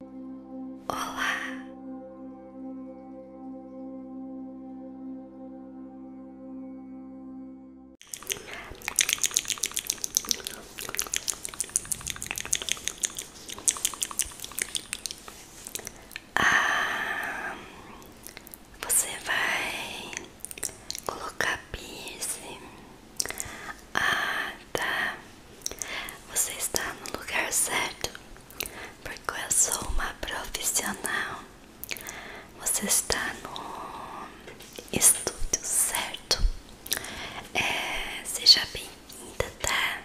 Olá. Ah, você vai colocar piercing. a? Ah, tá. Você está no lugar certo, porque eu sou uma profissional. Você está no estúdio certo. É, seja bem-vinda, tá?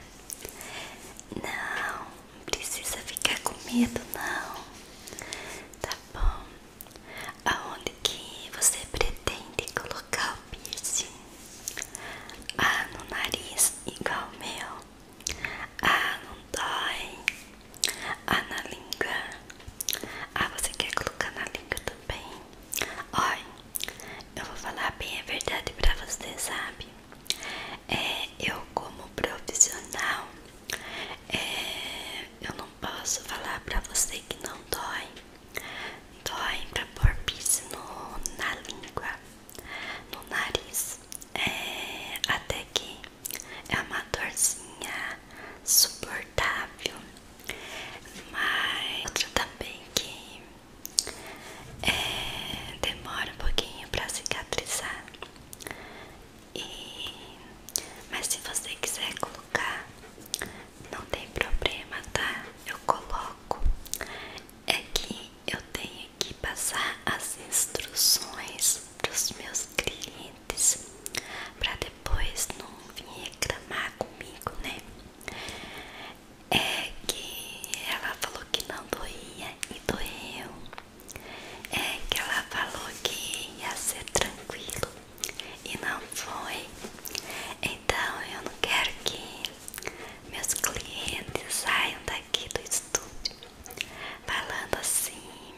Não, não precisa ficar com medo, não. Tá bom. Aonde que você pretende colocar o piercing? Ah, no nariz igual meu. Ah, não dói. Ah, na língua. Ah, você quer colocar na língua também? Olha, eu vou falar bem a verdade pra você, sabe? É, eu como profissional, é, eu não posso falar pra você que não dói. Dói então, pra pôr piercing no, na língua, no nariz. É, até que é uma dorzinha suportável. Mas outra também que é, demora um pouquinho pra cicatrizar. E, mas se você quiser colocar, não tem problema, tá? Eu coloco é que eu tenho que passar as instruções para os meus clientes para depois não vir reclamar comigo, né? É que ela falou que não doía e doeu. É que ela falou que ia ser tranquilo e não foi. Então eu não quero que meus clientes saiam daqui do estúdio falando assim,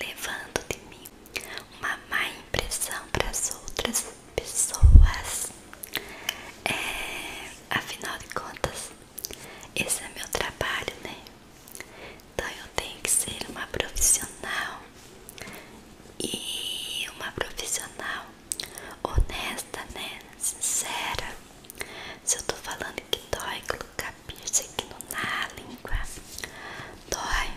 levando de mim uma má impressão para as outras pessoas. É, afinal de contas, esse é meu trabalho, né? Então eu tenho que ser uma profissional e uma profissional honesta, né? Sincera. Se eu tô falando que dói colocar piercing aqui no, na língua, dói,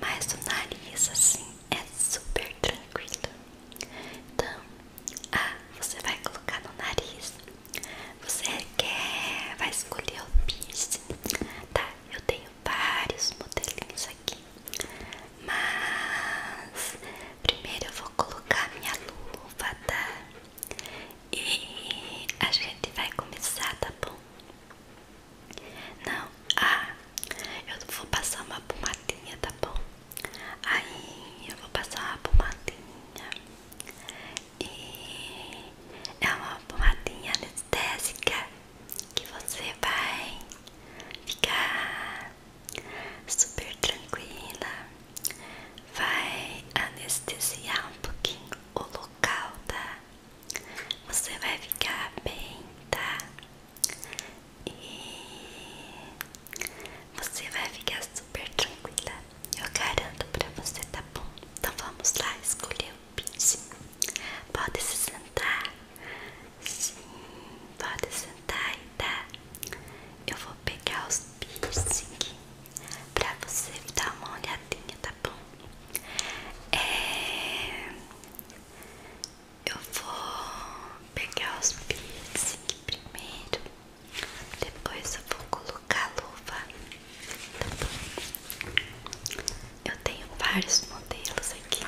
mas no nariz assim é super tranquilo. Então, ah, você vai colocar no nariz. Você quer, vai escolher o piercing, tá? Eu tenho vários modelinhos aqui. Mas primeiro eu vou colocar minha luva, tá? E a gente vai começar, tá bom? Não, ah, eu vou passar uma pomadinha, tá bom? Aí eu vou passar uma pomadinha e é uma pomadinha anestésica que você vai ficar super tranquila, vai anestesiar um pouquinho o local, tá? Você vai ficar bem, tá? E você vai ficar super tranquila, eu garanto pra você, tá bom? Então vamos lá escolher o pincel. Pode se sentar, Sim, pode sentar aí tá? Eu vou pegar os piercing pra você dar uma olhadinha, tá bom? É, eu vou pegar os piercing primeiro, depois eu vou colocar a luva, tá bom? Eu tenho vários modelos aqui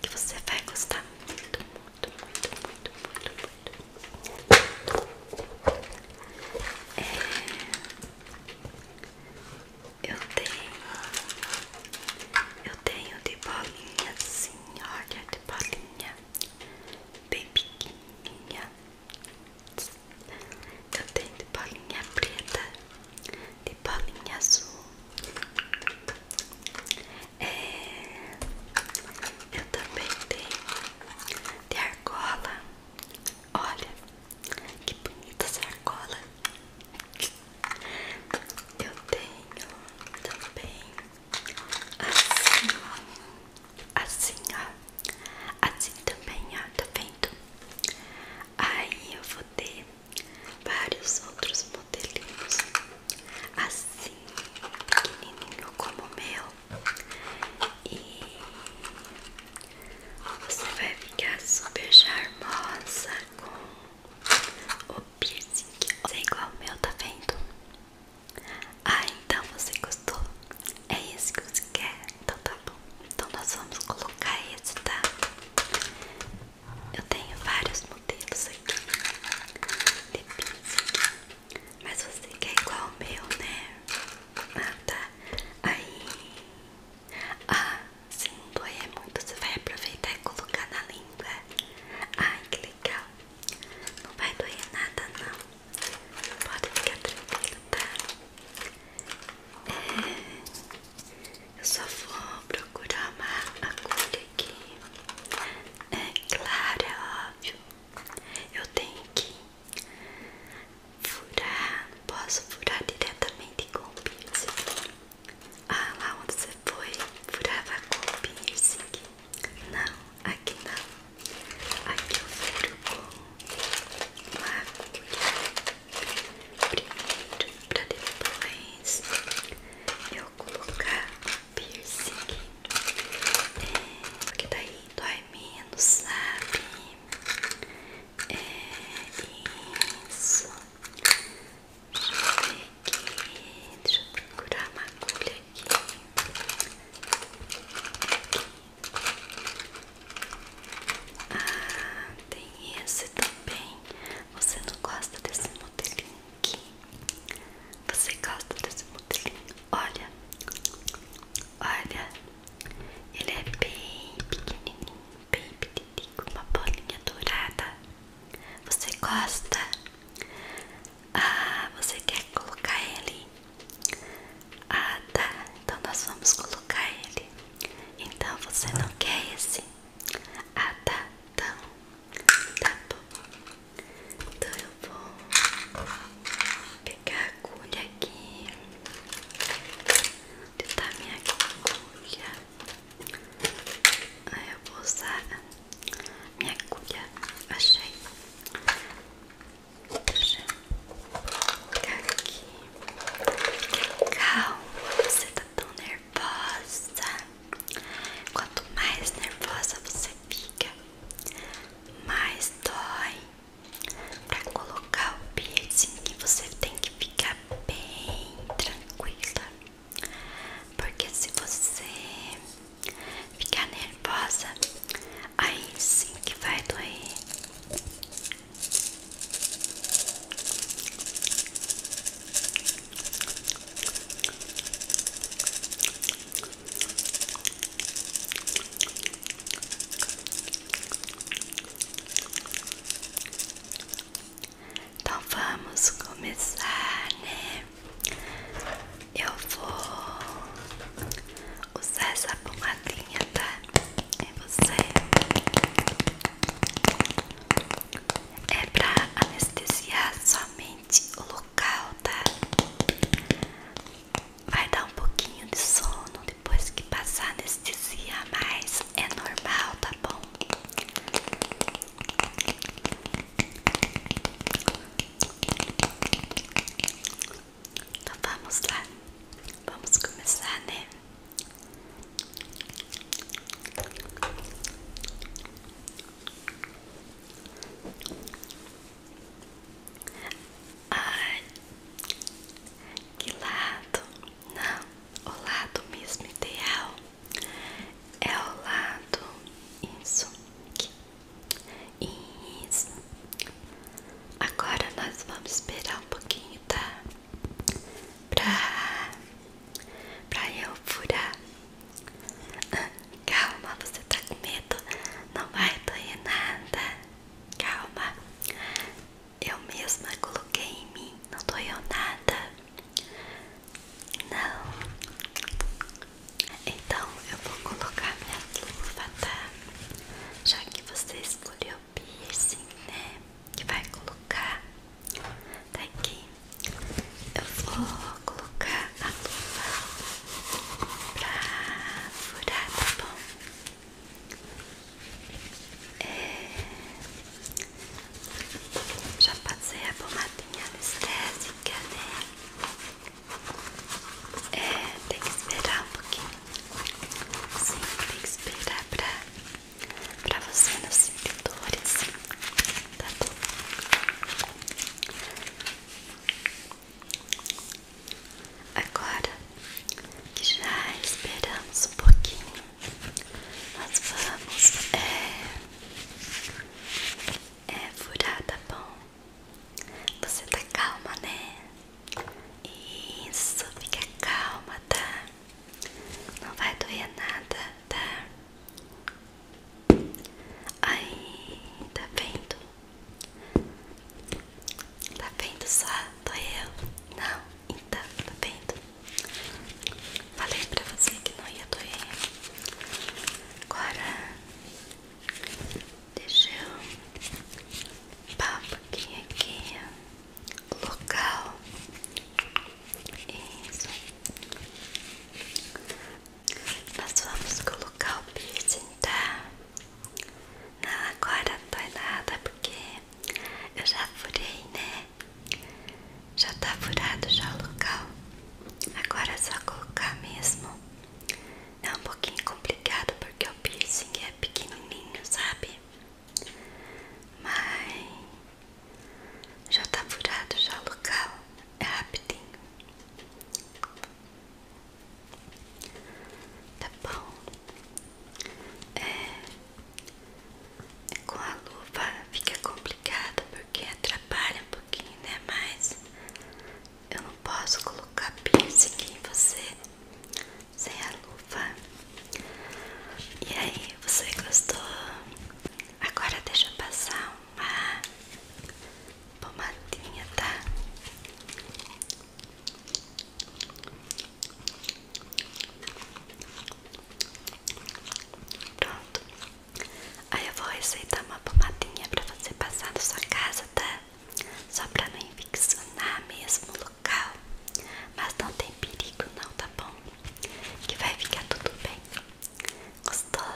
que você vai gostar gostar muito, muito, muito, muito, muito, muito. É... Eu tenho... Eu tenho de bolinha assim, olha, de bolinha bem pequenininha. Eu tenho de bolinha preta, de bolinha azul, é, eu também tenho de argola. Olha que bonita essa argola. Eu tenho também assim, ó. Assim, ó. Assim também, ó. Tá vendo? Aí eu vou ter vários outros modelinhos, assim, pequenininho como o meu, e você vai ficar super charmosa com o piercing, é igual o meu, tá vendo? Ah, então você gostou? É esse que você quer? Então tá bom. Então nós vamos colocar esse, tá? Eu tenho vários modelos aqui de pizza, mas você quer igual o meu, né? Ah, tá. Aí. Ah, sim, dói é muito. Você vai aproveitar e colocar na língua. Ai, que legal. Não vai doer nada, não. Pode ficar tranquilo, tá? É... Eu só vou procurar uma agulha aqui. É claro, é óbvio. Eu tenho que furar. Posso furar diretamente com o piercing. Ah, lá onde você foi, furava com o piercing. Não, aqui não. Aqui eu furo com uma agulha primeiro para depois eu colocar piercing, é, porque daí tá dói menos, sabe? É isso. Deixa eu ver aqui, deixa eu procurar uma agulha aqui. Ah, tem esse também. Você não gosta desse modelinho aqui? Você gosta desse modelinho? Olha, olha, ele é bem pequenininho, bem pequenininho, com uma bolinha dourada. Você gosta? Ah, você quer colocar ele? Ah, tá. Então nós vamos colocar ele. Então você não quer esse? Ah, tá, tá bom. Tá bom. Então eu vou pegar a agulha aqui. Onde tá minha agulha? Aí eu vou usar minha agulha. Achei. Deixa eu colocar aqui. calma, você tá tão nervoso nervosa. Quanto mais nervosa você fica, mais dói. Para colocar o piercing, você tem que ficar bem tranquila. Porque se você ficar nervosa, aí sim que vai doer. Então vamos começar, né? Eu vou usar essa pomadinha, tá? e você é pra anestesiar somente o local, tá? Vai dar um pouquinho de sono depois que passar a anestesia, mas é normal, tá bom? Então vamos lá, vamos começar, né? Ai, que lado? Não, o lado mesmo ideal é o lado isso aqui. Isso. Agora nós vamos esperar um pouquinho, tá? pra, pra eu furar. Ah, calma, você tá com medo, não vai doer nada. Calma, eu mesma coloquei em mim, não doeu nada. Não, então eu vou colocar minha luva, tá? Já que você escolheu piercing, né? Que vai colocar. Tá aqui. Eu vou colocar a luva pra furar, tá bom? É... Já passei a pomadinha anestésica, né? É, tem que esperar um pouquinho. Sim, tem que esperar pra pra você não sentir dores, tá bom? Agora que já esperamos um pouquinho, nós vamos é, é furar, tá bom? Você tá calma, né? Isso, fica calma, tá? Não vai doer nada, tá? Aí, tá vendo? Tá vendo só? Doeu? Não? Então, tá vendo? Falei pra você que não ia doer. Agora, deixa eu pá um pouquinho aqui, ó local. Isso. Nós vamos colocar o piercing, tá? Não, agora não dói nada porque eu já furei, né? Já tá furado já o local. Agora é só colocar mesmo. É um pouquinho complicado porque o piercing é pequenininho, sabe? Mas já tá furado já o local, é rapidinho. Tá bom? É, é, com a luva fica complicado porque atrapalha um pouquinho, né? Mas eu não posso colocar piercing em você sem a luva. E aí, você gostou? Agora deixa eu passar uma pomadinha, tá? Pronto. Aí eu vou receitar uma pomadinha pra você passar na sua casa, tá? Só pra não infeccionar mesmo local, mas não tem perigo não, tá bom? Que vai ficar tudo bem. Gostou?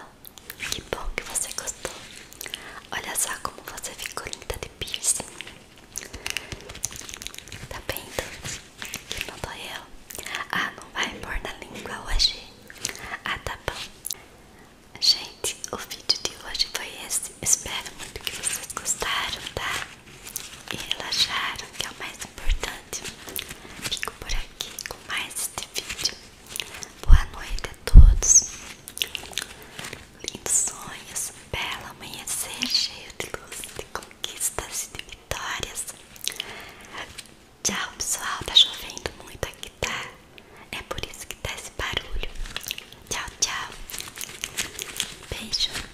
Que bom que você gostou. Olha só como você ficou linda de piercing. Tá bem vendo? Que não dói eu. Ah, não vai pôr na língua hoje? Ah, tá bom. Gente, o vídeo de hoje foi esse. Espero muito que vocês gostaram, tá? e relaxar, que é o mais importante. Fico por aqui com mais este vídeo. Boa noite a todos. Lindos sonhos, belo amanhecer cheio de luz, de conquistas e de vitórias. Tchau, pessoal. Tá chovendo muito aqui, tá? É por isso que tá esse barulho. Tchau, tchau. Beijo.